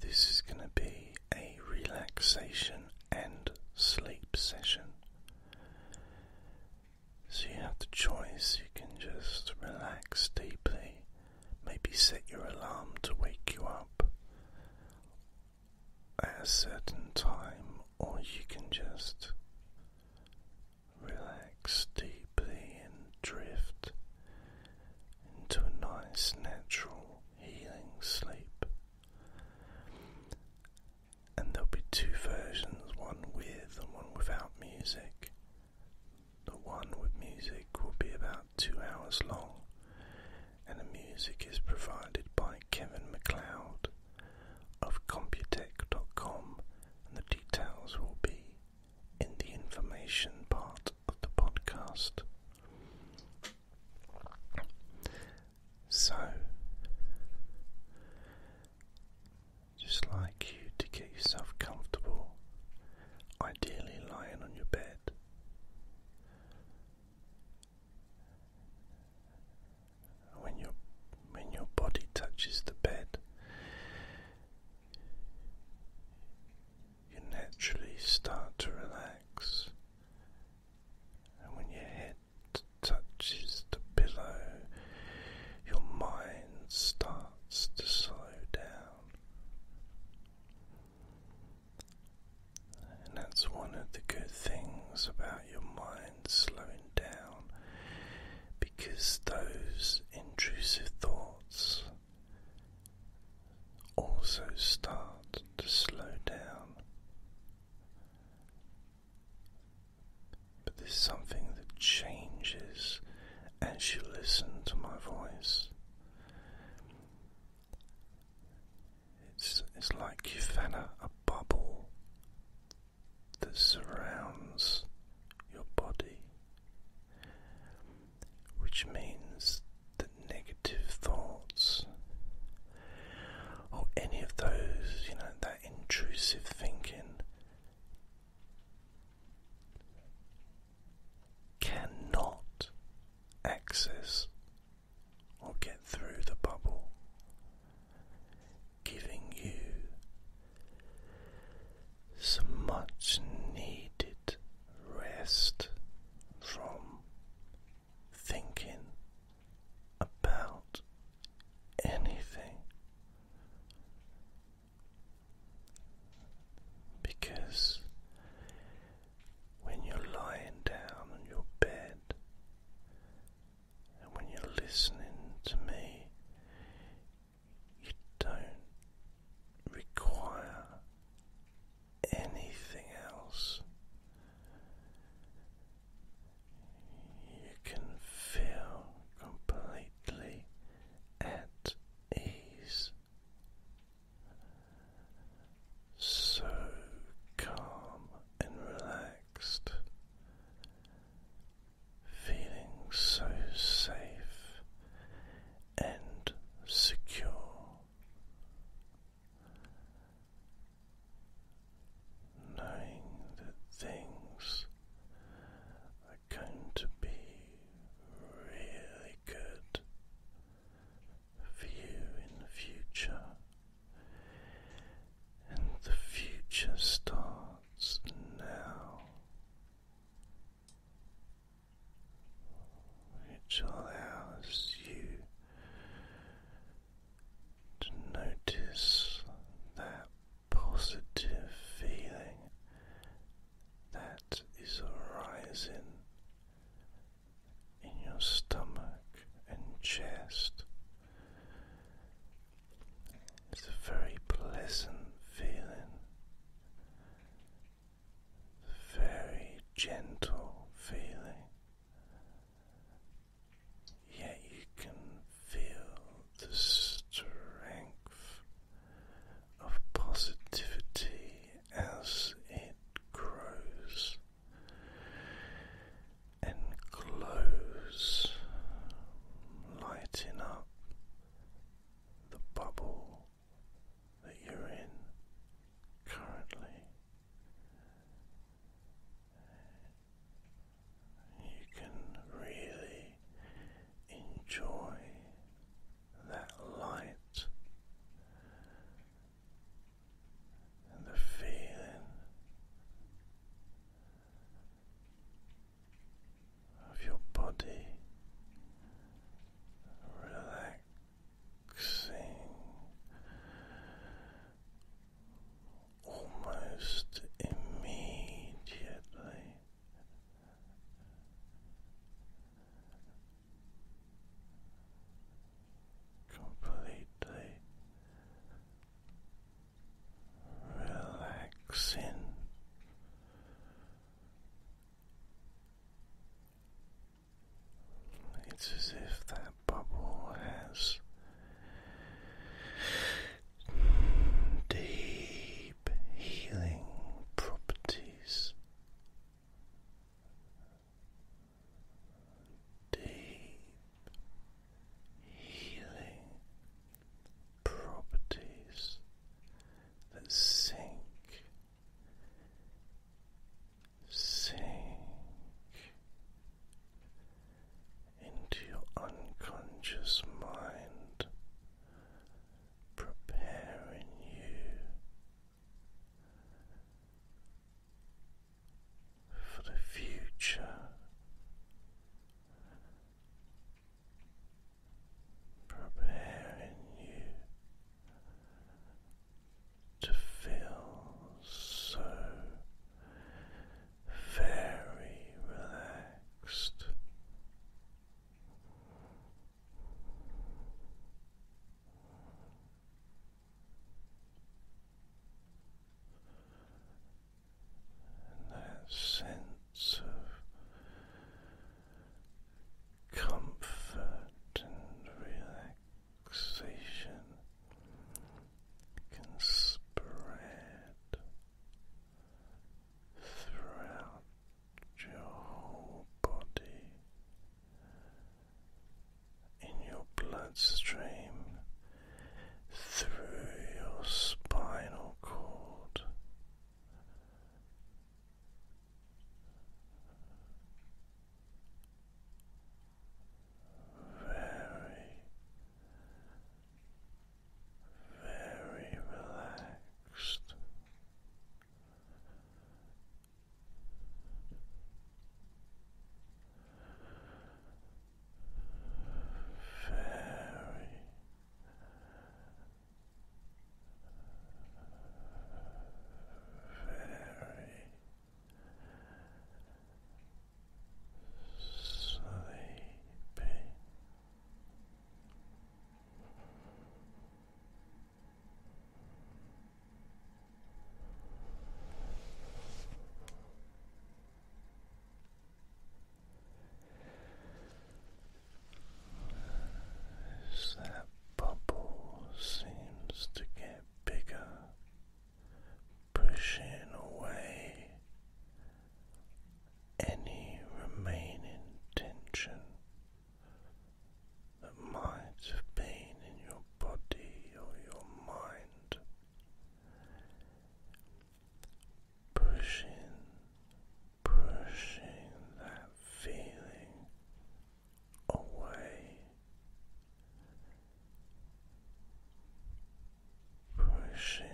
this is going to be a relaxation and sleep session. So you have the choice, you can just relax deeply, maybe set your alarm to wake you up at a certain time, or you can just relax deeply and drift into a nice, natural, healing sleep. And there'll be two versions one with and one without music. The one with music will be about two hours long, and the music is provided by Kevin McLeod of Computech.com, and the details will be in the information part of the podcast. So, just like you to get yourself comfortable, ideally lying on your bed. When your when your body touches the bed, you naturally start to relax and when your head touches the pillow, your mind starts to slow down. And that's one of the good things about your mind slowing down because those intrusive thoughts also start to slow down. But there's something that changes as you listen to my voice. It's, it's like you have a, a bubble that surrounds your body, which means that negative thoughts or any of those, you know, that intrusive thinking cannot access or get through the bubble, giving you some much needed rest from thinking about anything because when you're lying down on your bed and when you're listening to me, you don't require anything else. You can feel completely at ease, so calm and relaxed, feeling so safe and secure knowing that things are going to be really good for you in the future, and the future starts now which allows you to notice that positive feeling that is arising in your stomach and chest. It's a very pleasant feeling very gentle feeling, yet you can feel the strength of positivity as it grows and glows, lighting up the bubble that you're in currently. You can really enjoy that light and the feeling of your body relaxed almost immediately. Completely relaxing it's as if that bubble has deep healing properties. Deep healing properties that sink sink into your unconscious mind, preparing you for the future, preparing you to feel so very relaxed. that sense of comfort and relaxation can spread throughout your whole body in your bloodstream through your spinal cord very, very relaxed. Very, very sleepy. Is that bubble seems to get bigger, pushing away any remaining tension that might have been in your body or your mind. Pushing, pushing that feeling away, pushing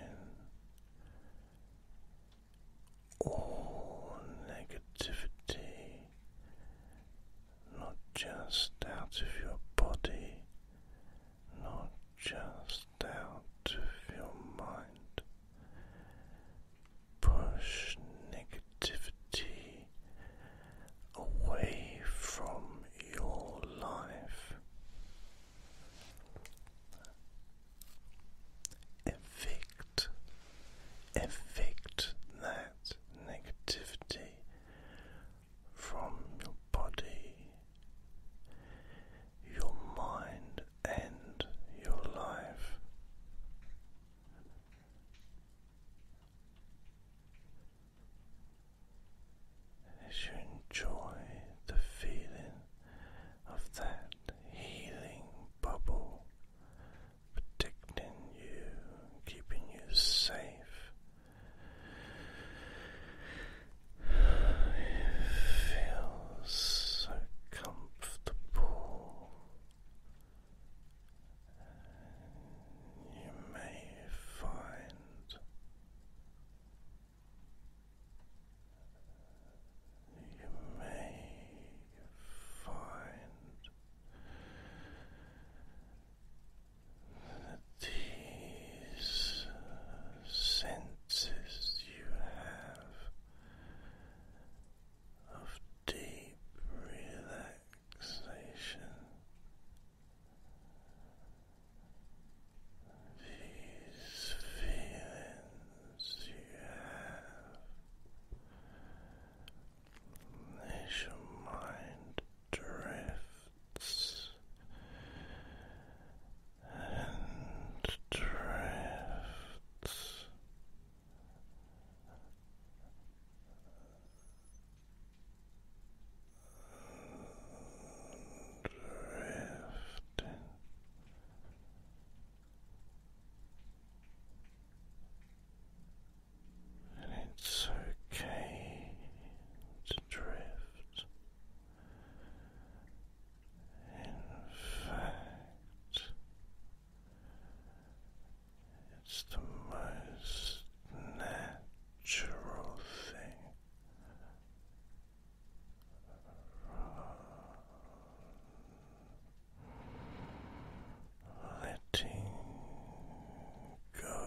all negativity not just out of your body, not just out of your mind push negativity away from your life. Evict, evict that negativity from your body, your mind, and your life. As you enjoy the feeling of that healing bubble protecting you, keeping you safe, it feels so comfortable. You may find you may find that these senses you have of deep relaxation. These feelings you have as your mind drifts and drifts Drifting. And it's okay to drift. In fact, it's the most natural thing. Letting go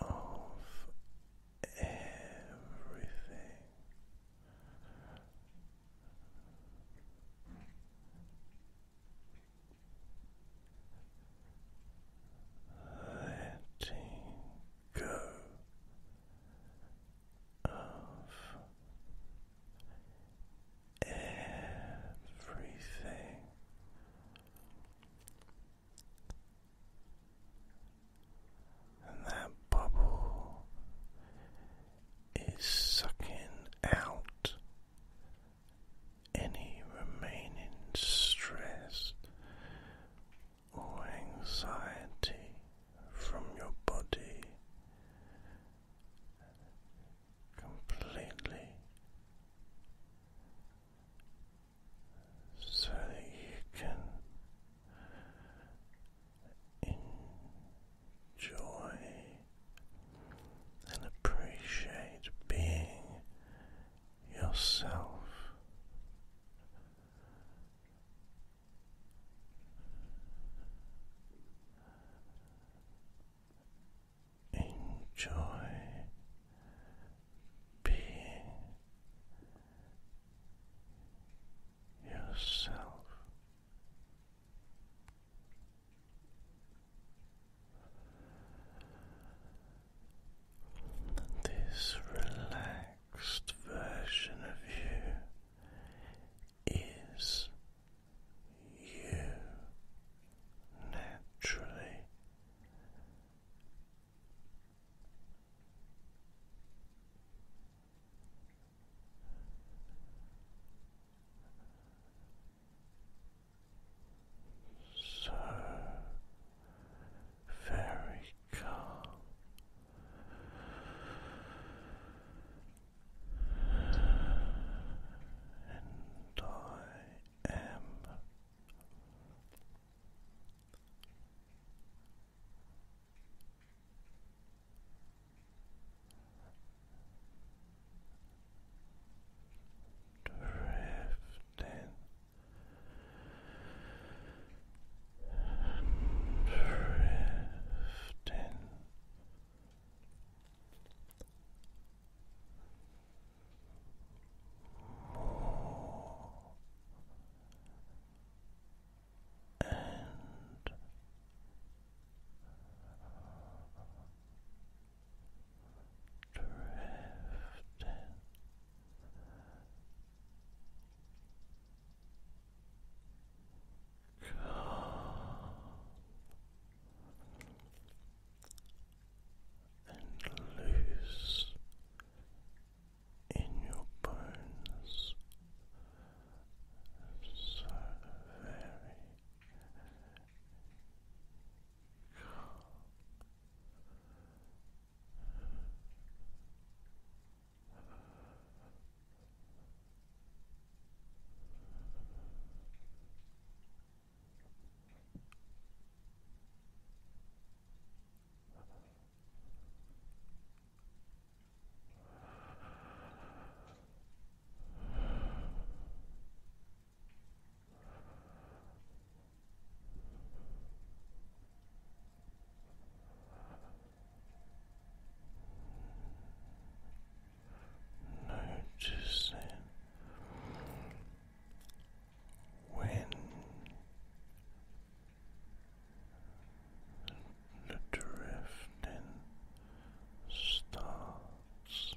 of everything letting go of everything. And that bubble is sucking out any remaining stress or anxiety from your body completely so that you can joy and appreciate being yourself. Enjoy being yourself. This relaxed version of you is you naturally. So very calm. And I am Drifting, drifting, more and drifting. Calm and loose in your bones so very calm. Relax. Noticing when the drifting starts.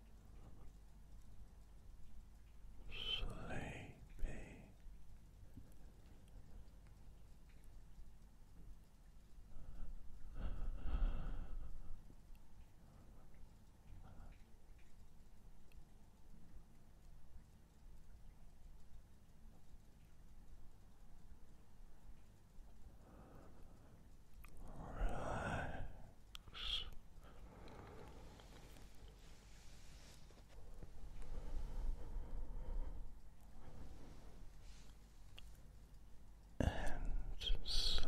sleepy. Relax and sleep.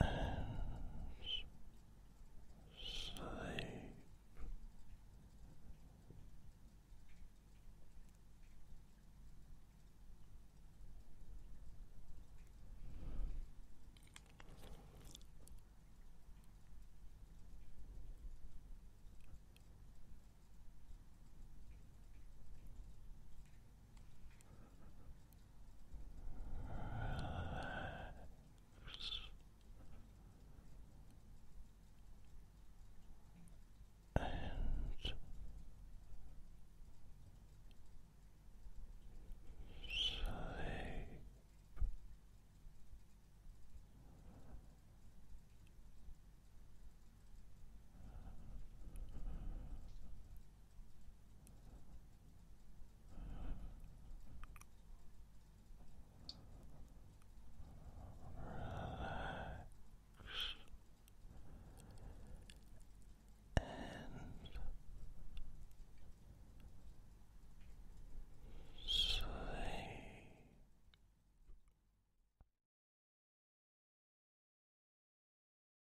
and sleep and sleep and sleep.